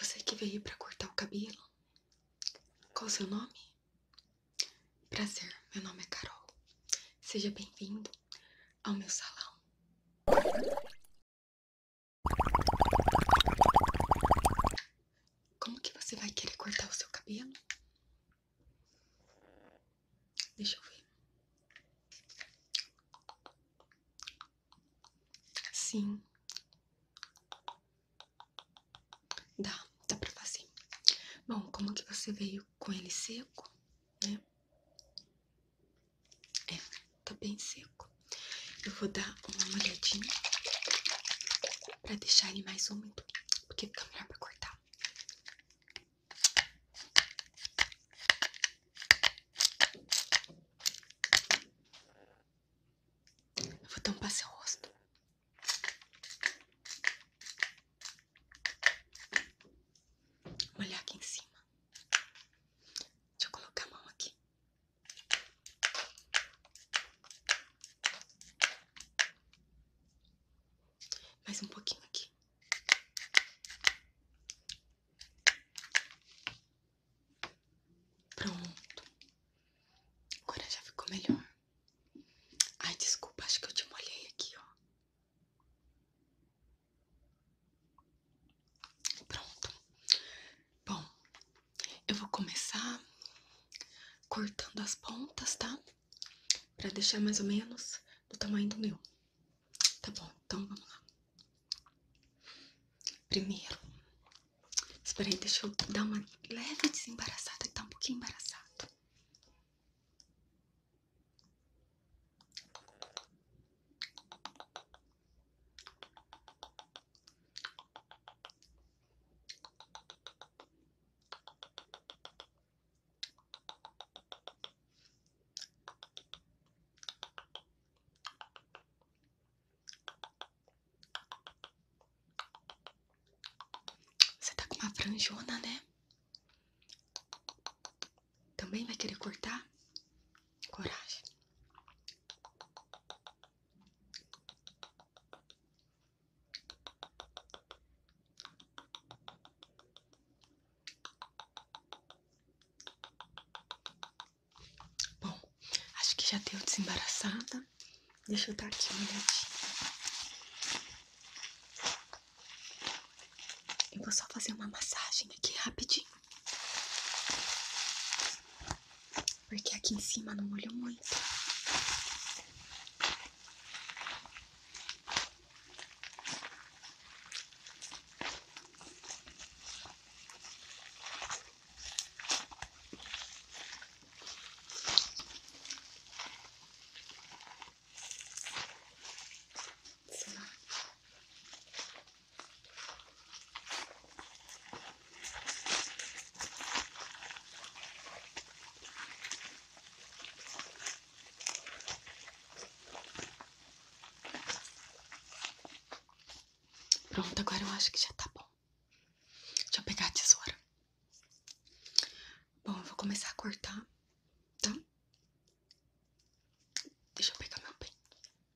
Você que veio para cortar o cabelo? Qual o seu nome? Prazer, meu nome é Carol. Seja bem-vindo ao meu salão. Como que você vai querer cortar o seu cabelo? Deixa eu ver. Sim. Dá, dá pra fazer. Bom, como que você veio com ele seco, né? É, tá bem seco. Eu vou dar uma molhadinha pra deixar ele mais úmido, porque fica melhor pra cortar. Eu vou tampar seu rosto. Molhar aqui em cima. Deixa eu colocar a mão aqui. Mais um pouquinho aqui. Pronto. Agora já ficou melhor. Ai, desculpa, acho que eu te molhei aqui, ó. Pronto. Bom, eu vou começar cortando as pontas, tá? Pra deixar mais ou menos do tamanho do meu. Tá bom, então vamos lá. Primeiro, espera aí, deixa eu dar uma leve desembaraçada, que tá um pouquinho embaraçado. Você tá com uma franjona, né? Também vai querer cortar? Coragem. Bom, acho que já deu desembaraçada. Deixa eu dar aqui uma olhadinha. Eu vou só fazer uma massagem aqui rapidinho. Porque aqui em cima não molho muito. Pronto, agora eu acho que já tá bom. Deixa eu pegar a tesoura. Bom, eu vou começar a cortar, tá? Deixa eu pegar meu pente.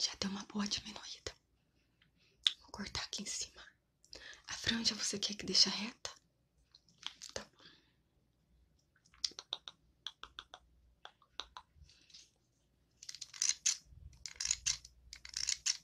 Já deu uma boa diminuída. Vou cortar aqui em cima. A franja você quer que deixe reta? Tá bom.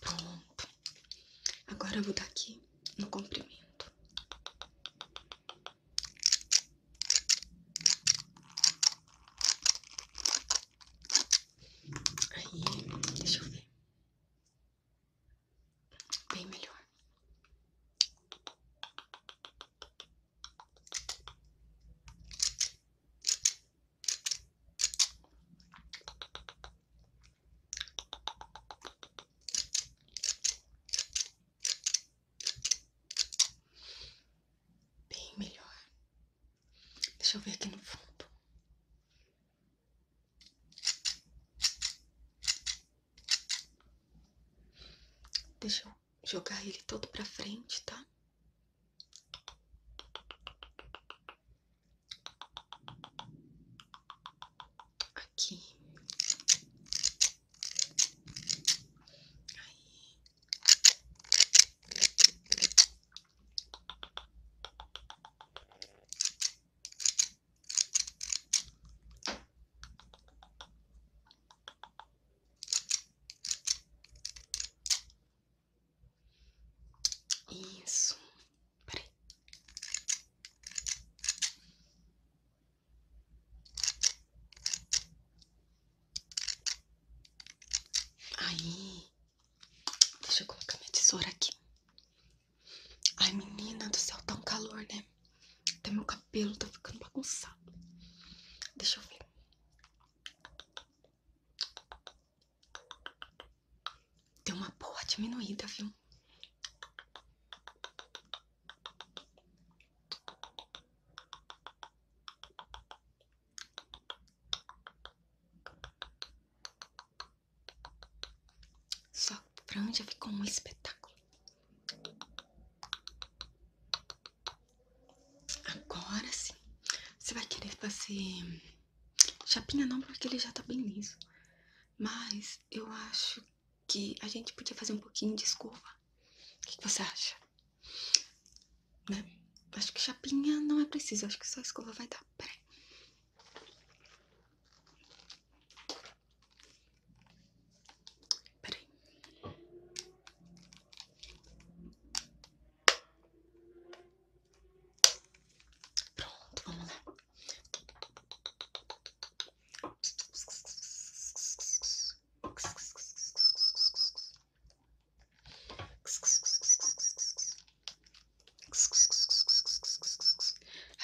Pronto. Agora eu vou dar aqui no comprimento. Aí, deixa eu ver. Bem melhor. Bem melhor. Deixa eu ver aqui no fundo. Deixa eu jogar ele todo pra frente, tá? Aqui. Aí. Isso. Peraí. Aí. Deixa eu colocar minha tesoura aqui. Ai, menina do céu, tão tá calor, né? Até meu cabelo tá ficando bagunçado. Deixa eu ver. Deu uma porra diminuída, viu? só franja ficou um espetáculo. Agora sim. Você vai querer fazer chapinha não, porque ele já tá bem liso. Mas eu acho que a gente podia fazer um pouquinho de escova. O que, você acha? Né? Acho que chapinha não é preciso, acho que só escova vai dar. Peraí. Peraí. Pronto, vamos lá.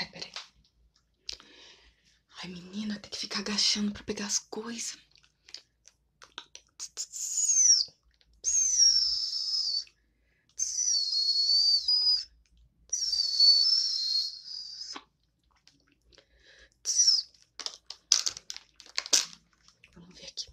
Ai, peraí. Ai, menina, tem que ficar agachando para pegar as coisas. Vamos ver aqui.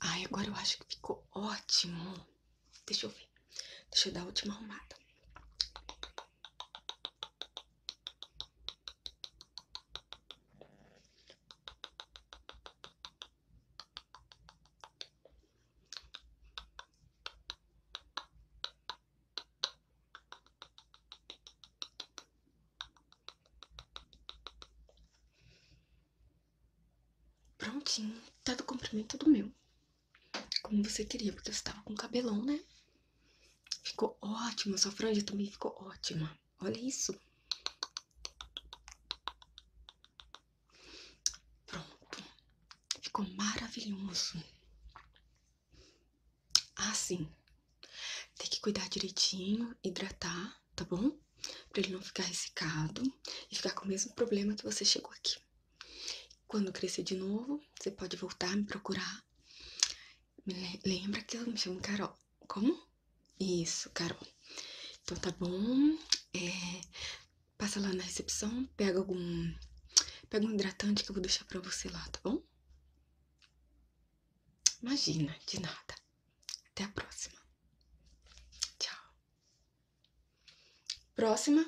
Ai, agora eu acho que ficou ótimo. Deixa eu ver. Deixa eu dar a última arrumada. Prontinho, tá do comprimento do meu. Como você queria, porque você tava com cabelão, né? Ficou ótimo, sua franja também ficou ótima. Olha isso. Pronto. Ficou maravilhoso. Ah, sim. Tem que cuidar direitinho, hidratar, tá bom? Pra ele não ficar ressecado e ficar com o mesmo problema que você chegou aqui. Quando crescer de novo, você pode voltar a me procurar. lembra que eu me chamo Carol. Como? Isso, Carol. Então tá bom. É, passa lá na recepção, pega algum. Pega um hidratante que eu vou deixar pra você lá, tá bom? Imagina, de nada. Até a próxima. Tchau. Próxima.